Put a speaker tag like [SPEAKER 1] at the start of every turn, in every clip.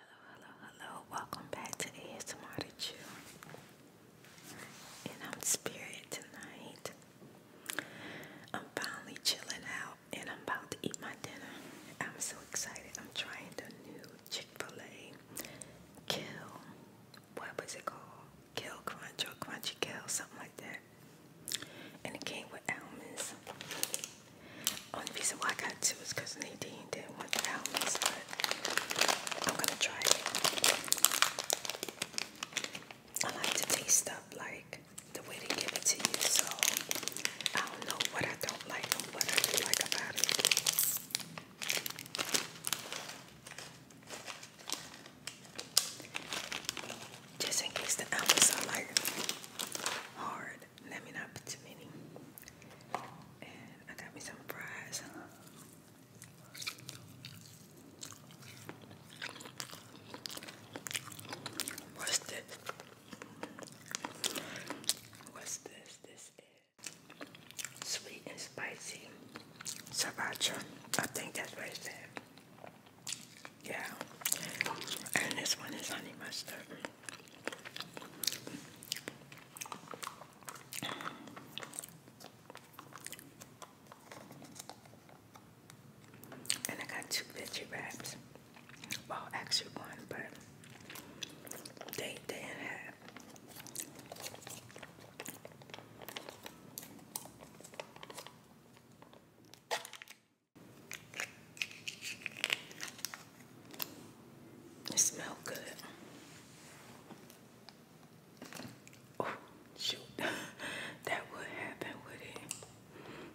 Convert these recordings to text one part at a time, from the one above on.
[SPEAKER 1] Hello, hello, hello. Welcome back to ASMR And I'm Spirit tonight. I'm finally chilling out and I'm about to eat my dinner. I'm so excited. I'm trying the new Chick fil A Kill what was it called? Kill Crunch or Crunchy Kill, something like that. And it came with almonds. Only reason why I got two is because Nadine didn't want the almonds, but I'm gonna try it. I like to taste stuff like the way they give it to you, so I don't know what I don't like and what I do like about it. Just in case the apples are like hard, let me not put too many. And I got me some fries. What's this? What's this? This is sweet and spicy Sriracha. I think that's what it said. Yeah. And this one is honey mustard. And I got two veggie wraps. Well, actually one, but they, they didn't have. It smells good. Oh, shoot. that would happen with it.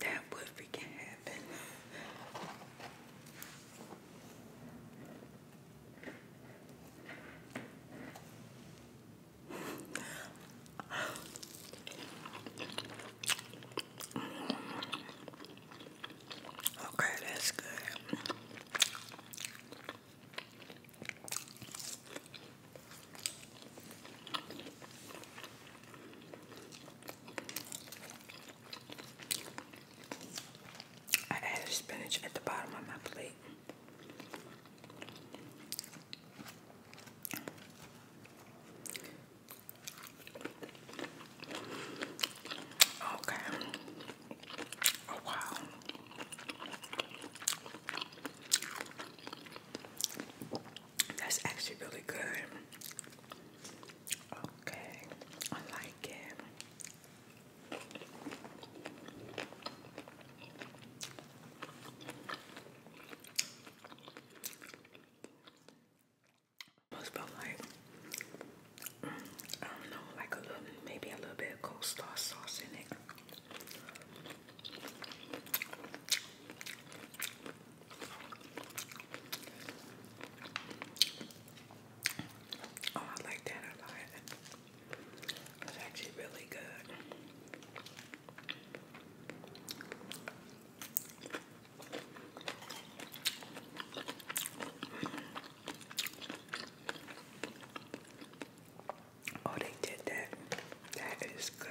[SPEAKER 1] That would freaking happen. Okay, that's good. I added spinach at the bottom of my plate. Okay. Oh wow. That's actually really good. Okay. I like it. Almost felt like I don't know, like a little, maybe a little bit of star sauce in it. Oh, I like that a lot. It's actually really good. Oh, they did that. That is good.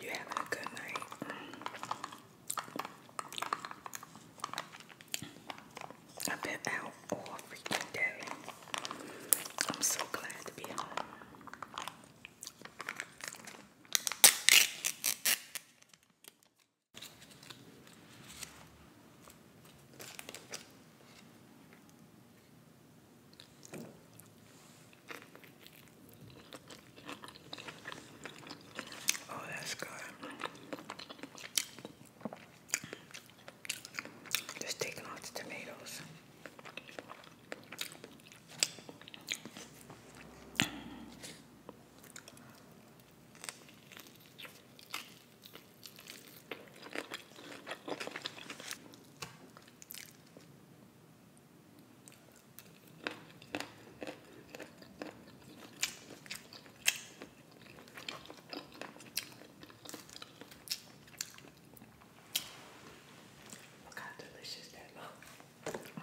[SPEAKER 1] You having a good night? I've been out all freaking day. I'm so glad to be home. Oh, that's good. Just taking off the tomatoes. Look how delicious that looks. Mm.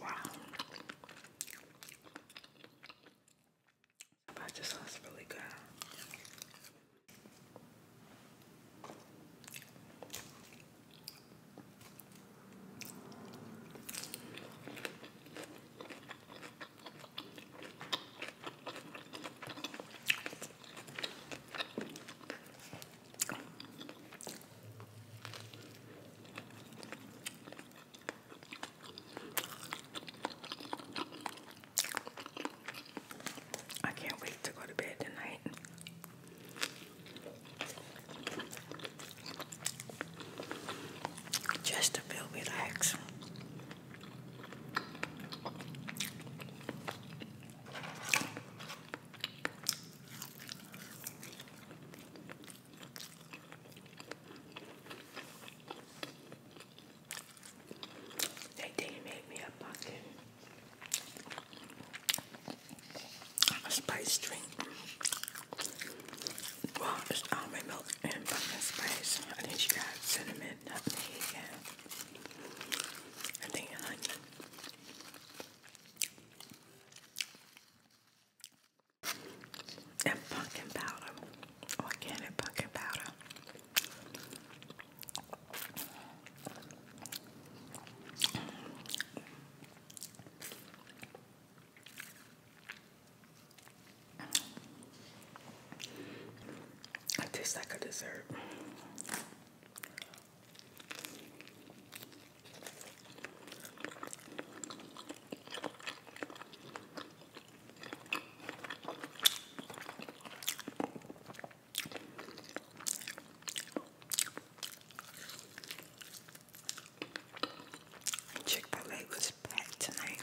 [SPEAKER 1] Wow. But this one's really good. I can't wait to go to bed tonight. Just to feel relaxed. They did make me a bucket. A spice drink. Well, almond milk and pumpkin spice. I think she got cinnamon and honey. And pumpkin powder, organic oh, pumpkin powder. It tastes like a dessert. Chick-fil-A was packed tonight.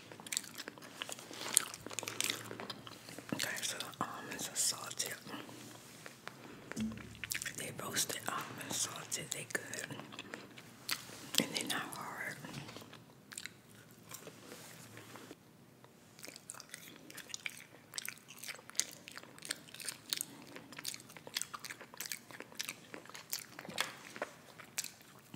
[SPEAKER 1] Okay, so the almonds are salted. They roasted almonds, salted, they good. And they're not hard.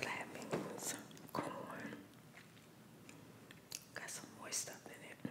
[SPEAKER 1] Black beans, corn, got some more stuff in it.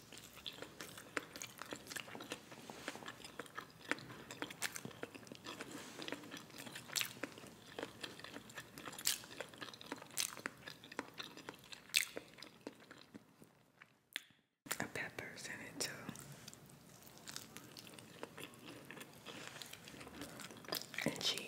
[SPEAKER 1] A pepper's in it too. And cheese.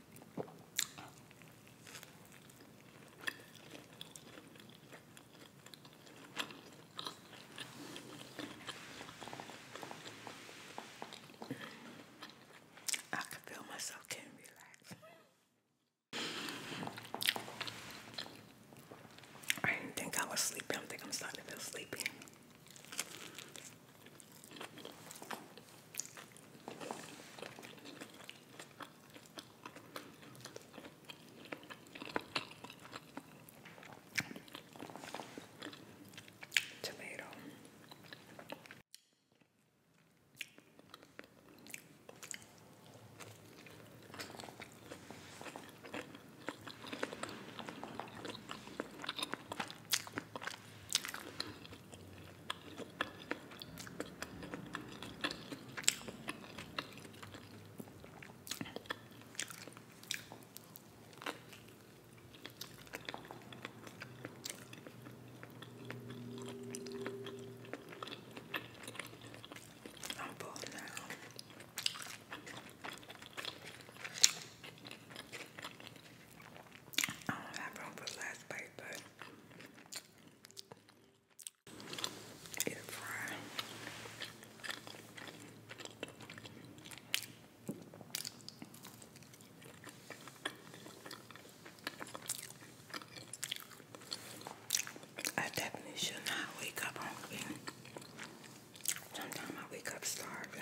[SPEAKER 1] I can feel myself getting relaxed. I didn't think I was sleepy. I don't think I'm starting to feel sleepy. Tomato. I'm full now. I don't have room for the last bite, but air I definitely should not wake up hungry. Sometimes I wake up starving.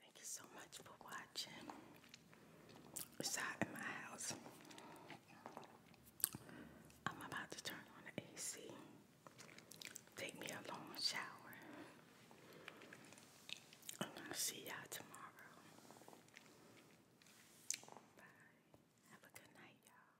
[SPEAKER 1] Thank you so much for watching. It's hot in my house. I'm about to turn on the AC. Take me a long shower. I'm gonna see y'all tomorrow. Bye. Have a good night, y'all.